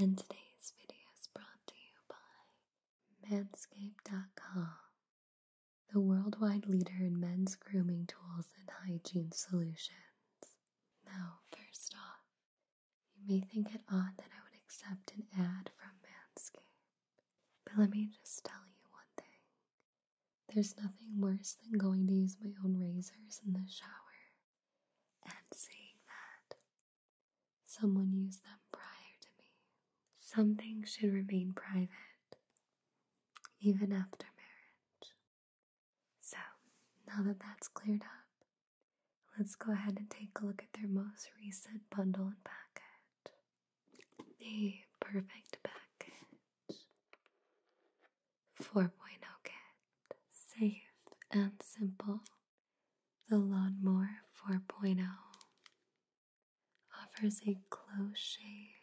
And today's video is brought to you by Manscaped.com, the worldwide leader in men's grooming tools and hygiene solutions. Now, first off, you may think it odd that I would accept an ad from Manscaped, but let me just tell you one thing. There's nothing worse than going to use my own razors in the shower and seeing that someone used them prior to me. Something should remain private even after marriage. So, now that that's cleared up, let's go ahead and take a look at their most recent bundle and package. The perfect package. 4.0 get safe and simple. The Lawnmower 4.0 offers a close shave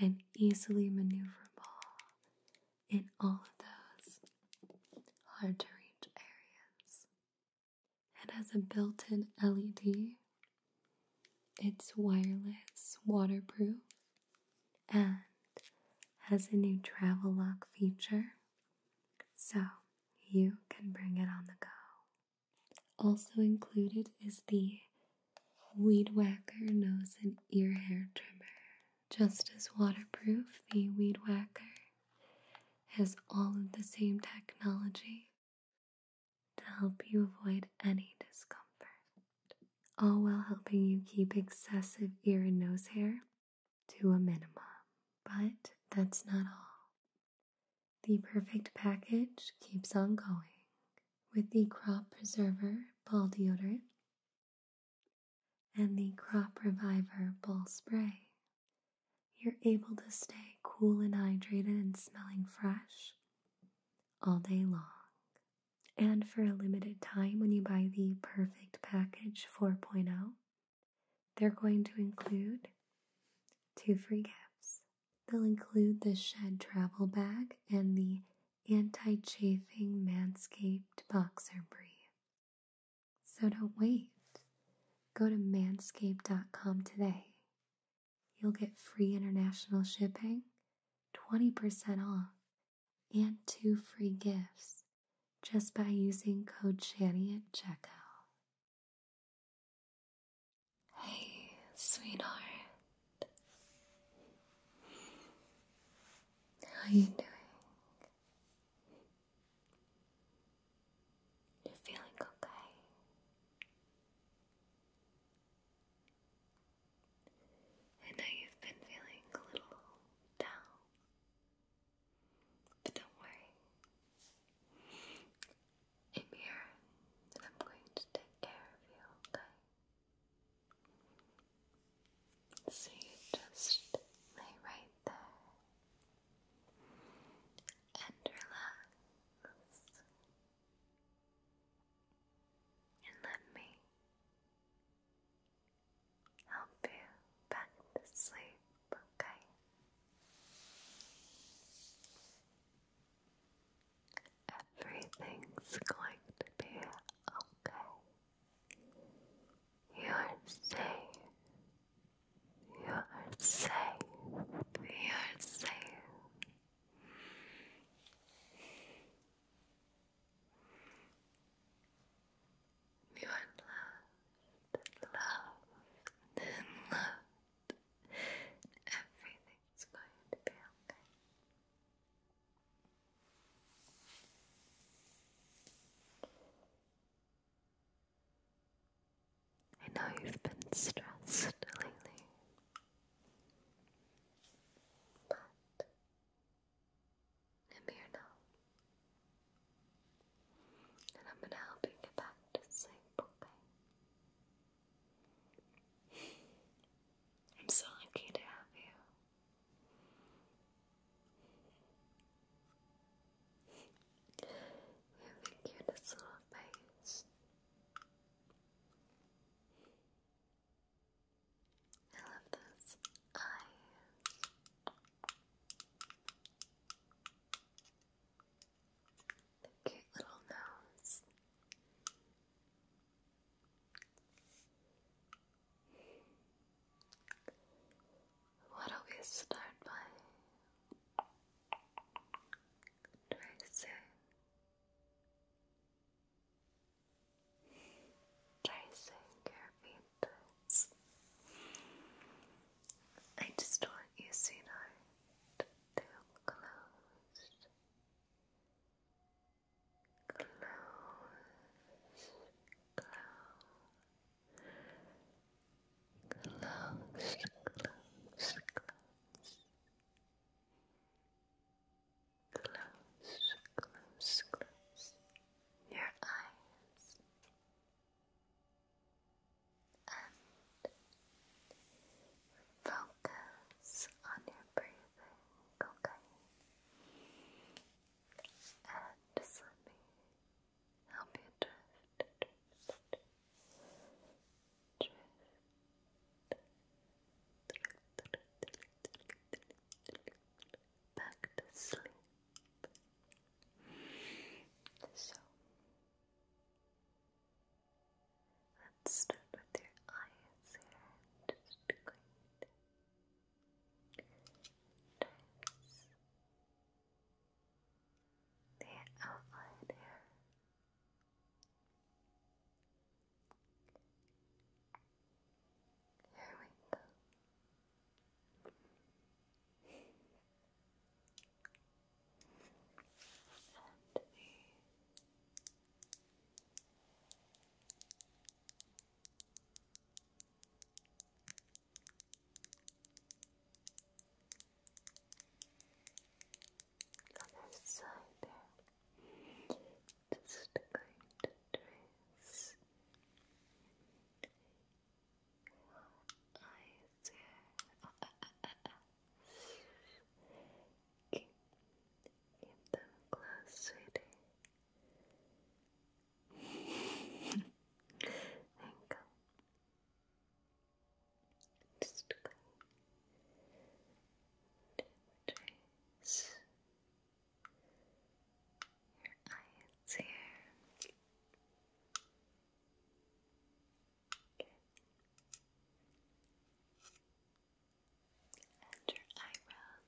and easily maneuverable in all of those hard to reach areas. It has a built in LED, it's wireless, waterproof, and has a new travel lock feature so you can bring it on the go. Also included is the Weed Whacker nose and ear hair trimmer. Just as waterproof, the Weed Whacker has all of the same technology to help you avoid any discomfort all while helping you keep excessive ear and nose hair to a minimum. But that's not all. The perfect package keeps on going with the Crop Preserver Ball Deodorant and the Crop Reviver Ball Spray. You're able to stay cool and hydrated and smelling fresh all day long. And for a limited time, when you buy the Perfect Package 4.0, they're going to include two free gifts. They'll include the Shed Travel Bag and the Anti Chafing Manscaped Boxer Brief. So don't wait. Go to manscaped.com today. You'll get free international shipping 20% off and two free gifts just by using code Shani at checkout. Hey, sweetheart. How you doing? you feeling okay. I know you've been feeling a little down, but don't worry. I'm here I'm going to take care of you, okay? So you just lay right there and relax and let me help you back to sleep, okay? Everything's going to be okay. You're safe. You're safe. You're safe. You are loved and loved and loved. Everything's going to be okay. I know you've been stressed lately, but I'm here now. And I'm gonna help you get back to sleep, I'm so lucky to have you. You have the cutest little face. I love those eyes. The cute little nose. What do we start by tracing tracing your fingers. I just want you, sweetheart, to close, close, close, close, close, close. Close, close, close your eyes and focus on your breathing, okay? And let me help you drift, drift, drift, back to sleep. So let's start with your eyes here. just going the outline here. Here we go. and the side there just going to trace your eyes here. them closed, sweetie. Just going to trace your eyes here. And your eyebrows.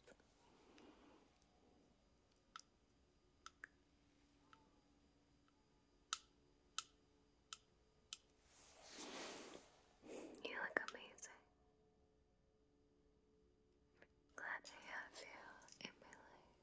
You look amazing. Glad to have you in my life.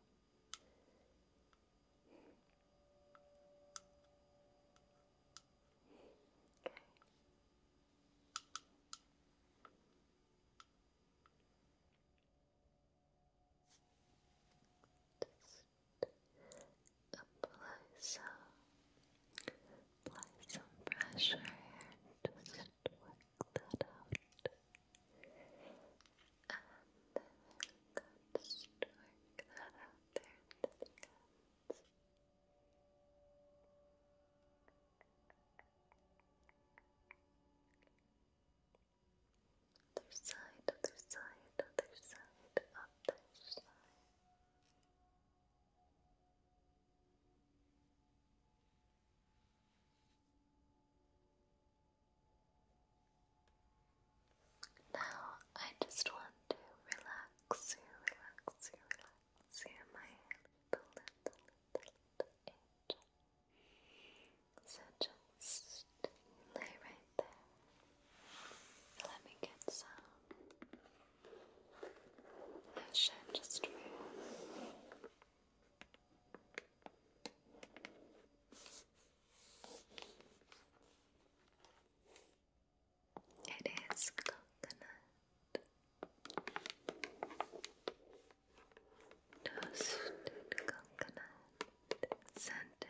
Okay. Just apply some apply some pressure here, work that out. And work that out there until it comes. Other side, other side, other side, other side. Now I just want to relax you, relax you, relax you, my little, little, little, angel. So just lay right there. Let me get some that just move. It is coconut toasted coconut scented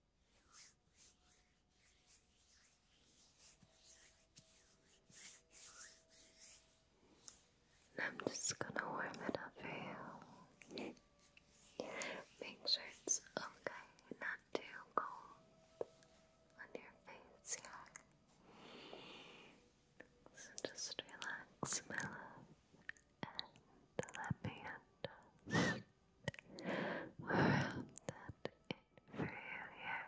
I'm just gonna warm it up for you. Make sure it's okay, not too cold on your face, yeah. just relax, my and let me end around that inferior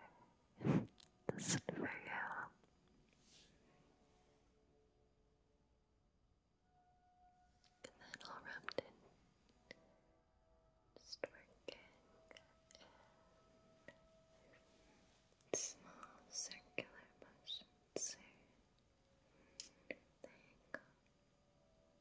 this inferior and then all rubbed in just working in small circular motions there you go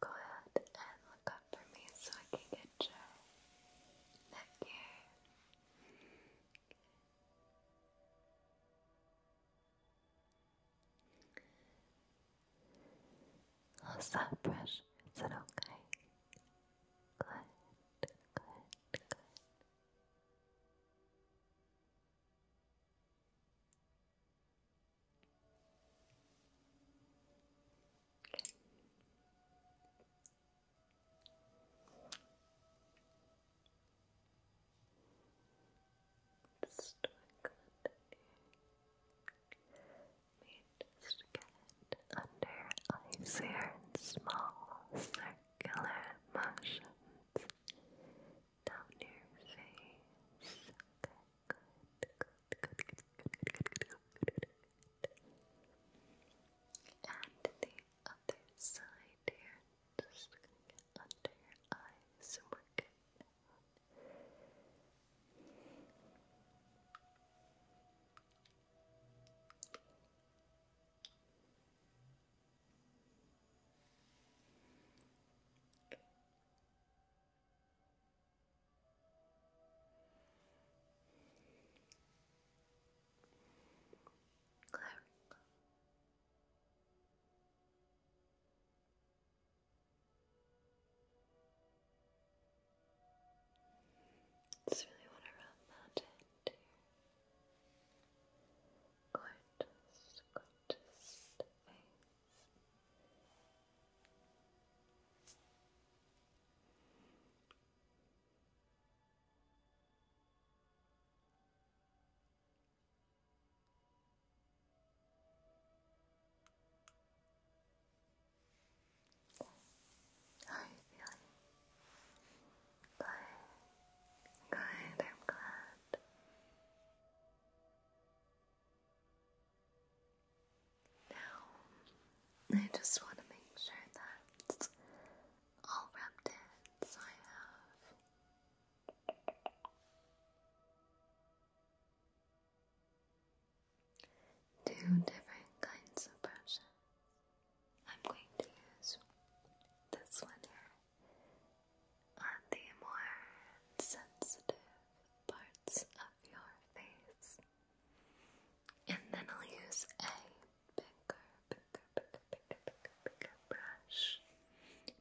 Go ahead and look up for me so I can get your neck here. How's that brush? Is it okay? Good, good, good. Okay. Just work get under eyes in small circular motions down your face. Okay, good, And the other side here, just under your eyes and Good. Clerical. Just really want to rub that in gorgeous, gorgeous face. How you feeling? Good, I'm glad. Now, I just want to make sure that all wrapped in, I have two different kinds of brushes. I'm going to use this one here on the more sensitive parts of your face. And then I'll use a bigger, bigger, bigger, bigger, bigger, bigger brush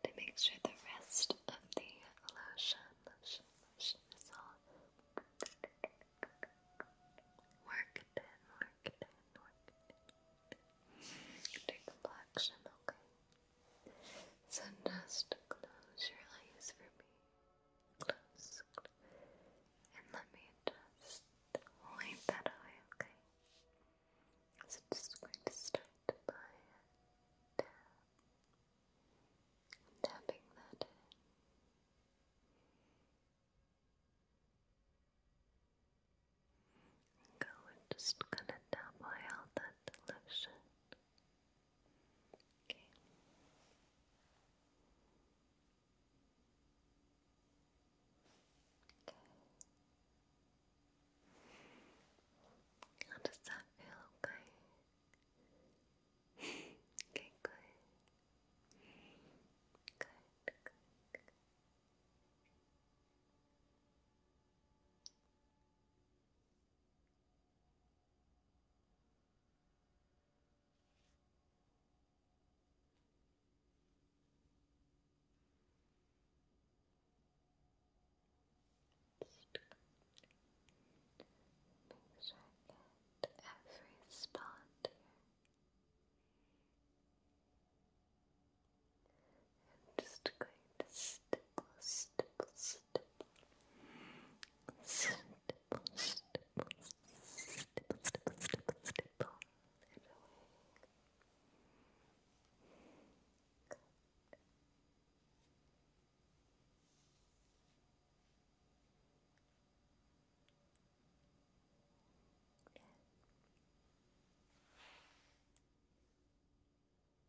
to make sure the rest of the lotion, lotion, lotion is all worked in, worked in, worked in. okay. So just close your eyes for me. Close, And let me just wipe that away, okay? So just going to start by Tapping that Go, we're just gonna double out that delusion. Okay. Okay. How does that feel? Okay. okay, good. Good, Make sure I get every spot here. I'm just going to stipple, stipple, stipple, stipple, stipple, stipple, stipple, stipple, stipple, stipple it away. Good. Yeah.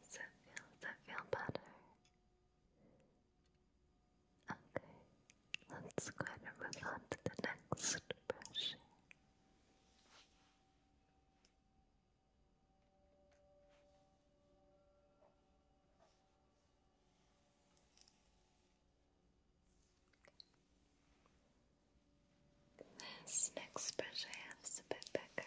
Does that feel, feel better? Okay, let's go ahead and move on to the next brushing. This next brush I have is a bit bigger.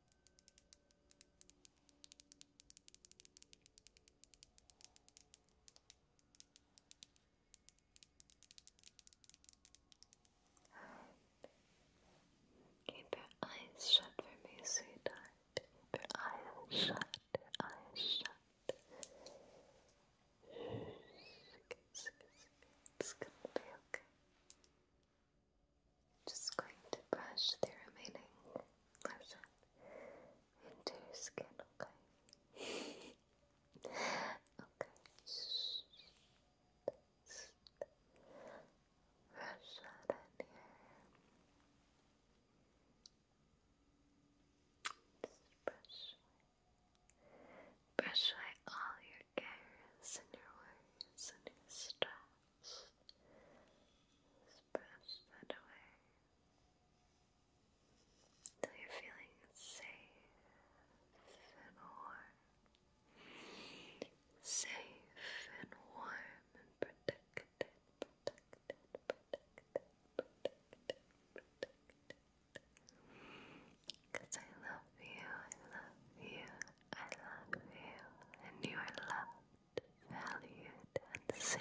Keep your eyes shut for me, sweetheart. Keep eyes shut, your eyes shut. it's gonna be okay. Just going to brush the remaining lotion into skin, okay? Brush that in here. brush away. all your cares and your worries and your stress. Just that away until you're feeling safe and warm. Safe and warm and protected, protected, protected, protected, protected. Because I love you, I love you, I I love you and you are loved, valued, and safe.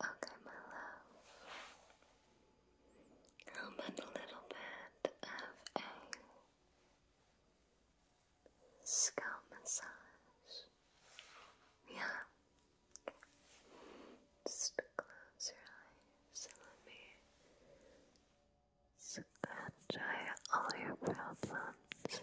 Okay, my love. I'm in a little bit of a Scalp massage. Yeah. Just close your eyes and let me scratch out all your problems.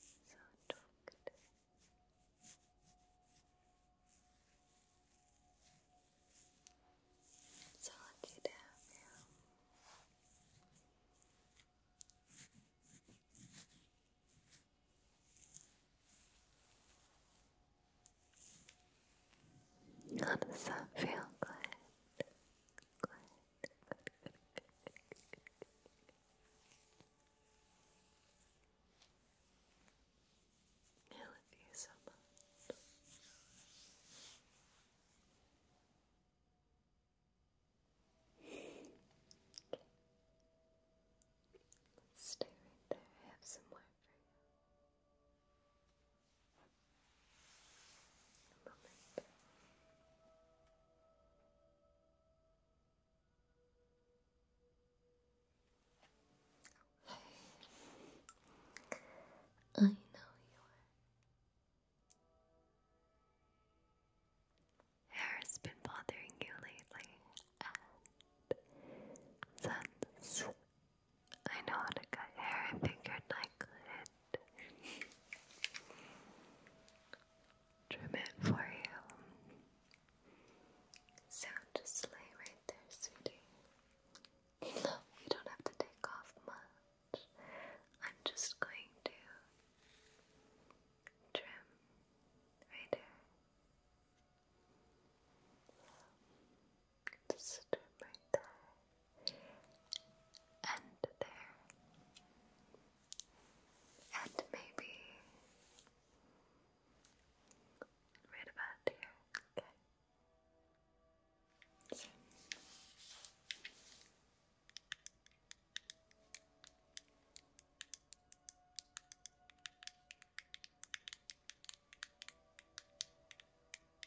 So talked. So lucky to have you. How does that feel? Good. I love Stay right there, I have some more for you. I know your hair has been bothering you lately, and since I know how to cut hair, I figured I could Trim it for you. Sound just right there, sweetie. Look, don't have to take off much. I'm just going to trim right there. Just trim right there end there. And maybe right about there. Okay.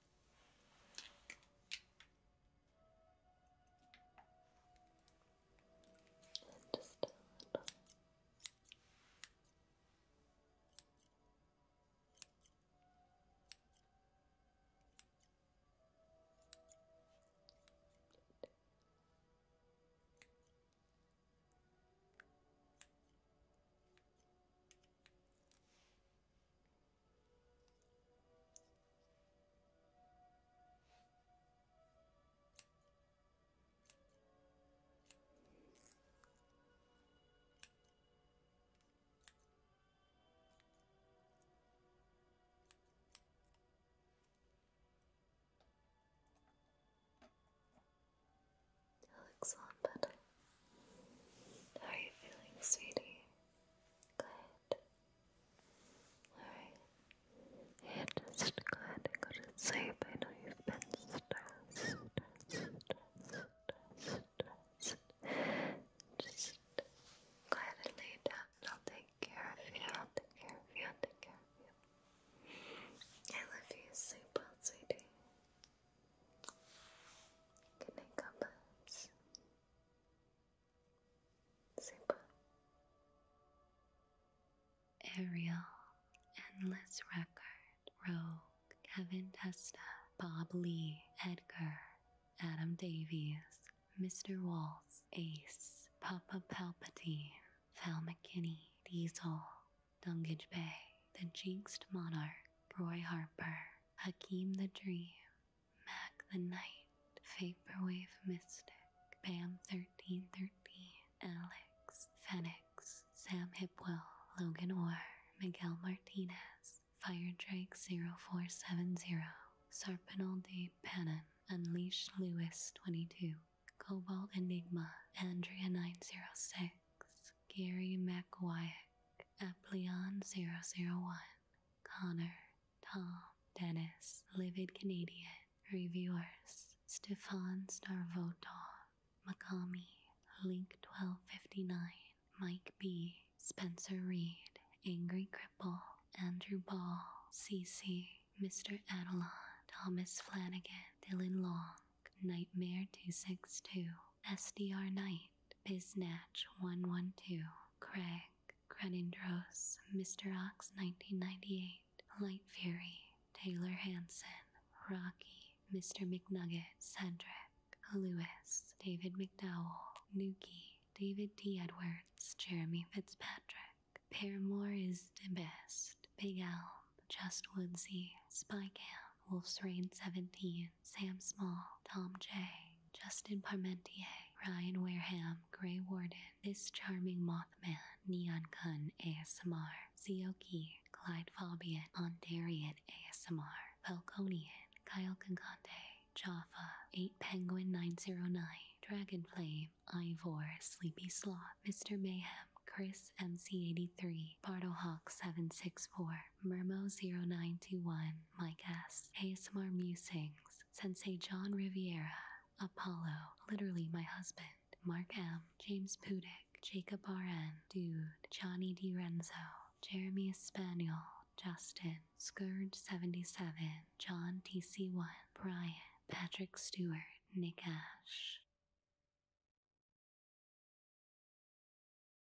And just a little. Alex on better. How are you feeling, sweetie? Good. Alright. just go ahead and to sleep. I know you've been stressed, Just go ahead and down I'll take care of you. I'll take care of you. I'll take care of you. I love you. Sleep well, sweetie. Good night, Super. Ariel, Endless Record, Rogue, Kevin Testa, Bob Lee, Edgar, Adam Davies, Mr. Waltz, Ace, Papa Palpatine, Val McKinney, Diesel, Dungage Bay, The Jinxed Monarch, Roy Harper, Hakeem the Dream, Mac the Knight, Vaporwave Mystic, Bam 1313, Alex, Fenix, Sam Hipwell, Logan Orr, Miguel Martinez, Fire Drake 0470, Sarpinal de Pannon, Unleashed Lewis 22, Cobalt Enigma, Andrea 906, Gary McWyack, Epleon001, Connor, Tom, Dennis, Livid Canadian, Reviewers, Stefan Starvotov, Makami, Link1259, Mike B, Spencer Reed, Angry Cripple, Andrew Ball, CC, Mr. Adelon, Thomas Flanagan, Dylan Long, Nightmare262, SDR Knight, Knight, 112, Craig, Credendros, Mr. Ox 1998, Light Fury, Taylor Hanson, Rocky, Mr. McNugget, Cedric, Lewis, David McDowell, Nuki, David T. Edwards, Jeremy Fitzpatrick, Paramore is the best, Big Elm, Just Woodsy, Spy Camp, Wolf's Rain 17, Sam Small, Tom J., Justin Parmentier, Ryan Wareham, Gray Warden, This Charming Mothman, Neon Kun ASMR, Zioki, Clyde Fabian, Ondarian ASMR, Falconian, Kyle Concante, Jaffa, 8 Penguin 909, Dragon Flame, Ivor, Sleepy Sloth, Mr. Mayhem, Chris MC83, Bartlehawk764, Mermo091, my guest, ASMR Musings, Sensei John Riviera, Apollo, literally my husband, Mark M, James Pudick, Jacob RN, Dude, Johnny Renzo, Jeremy Espanol, Justin, Scourge77, John TC1, Brian, Patrick Stewart, Nick Ash.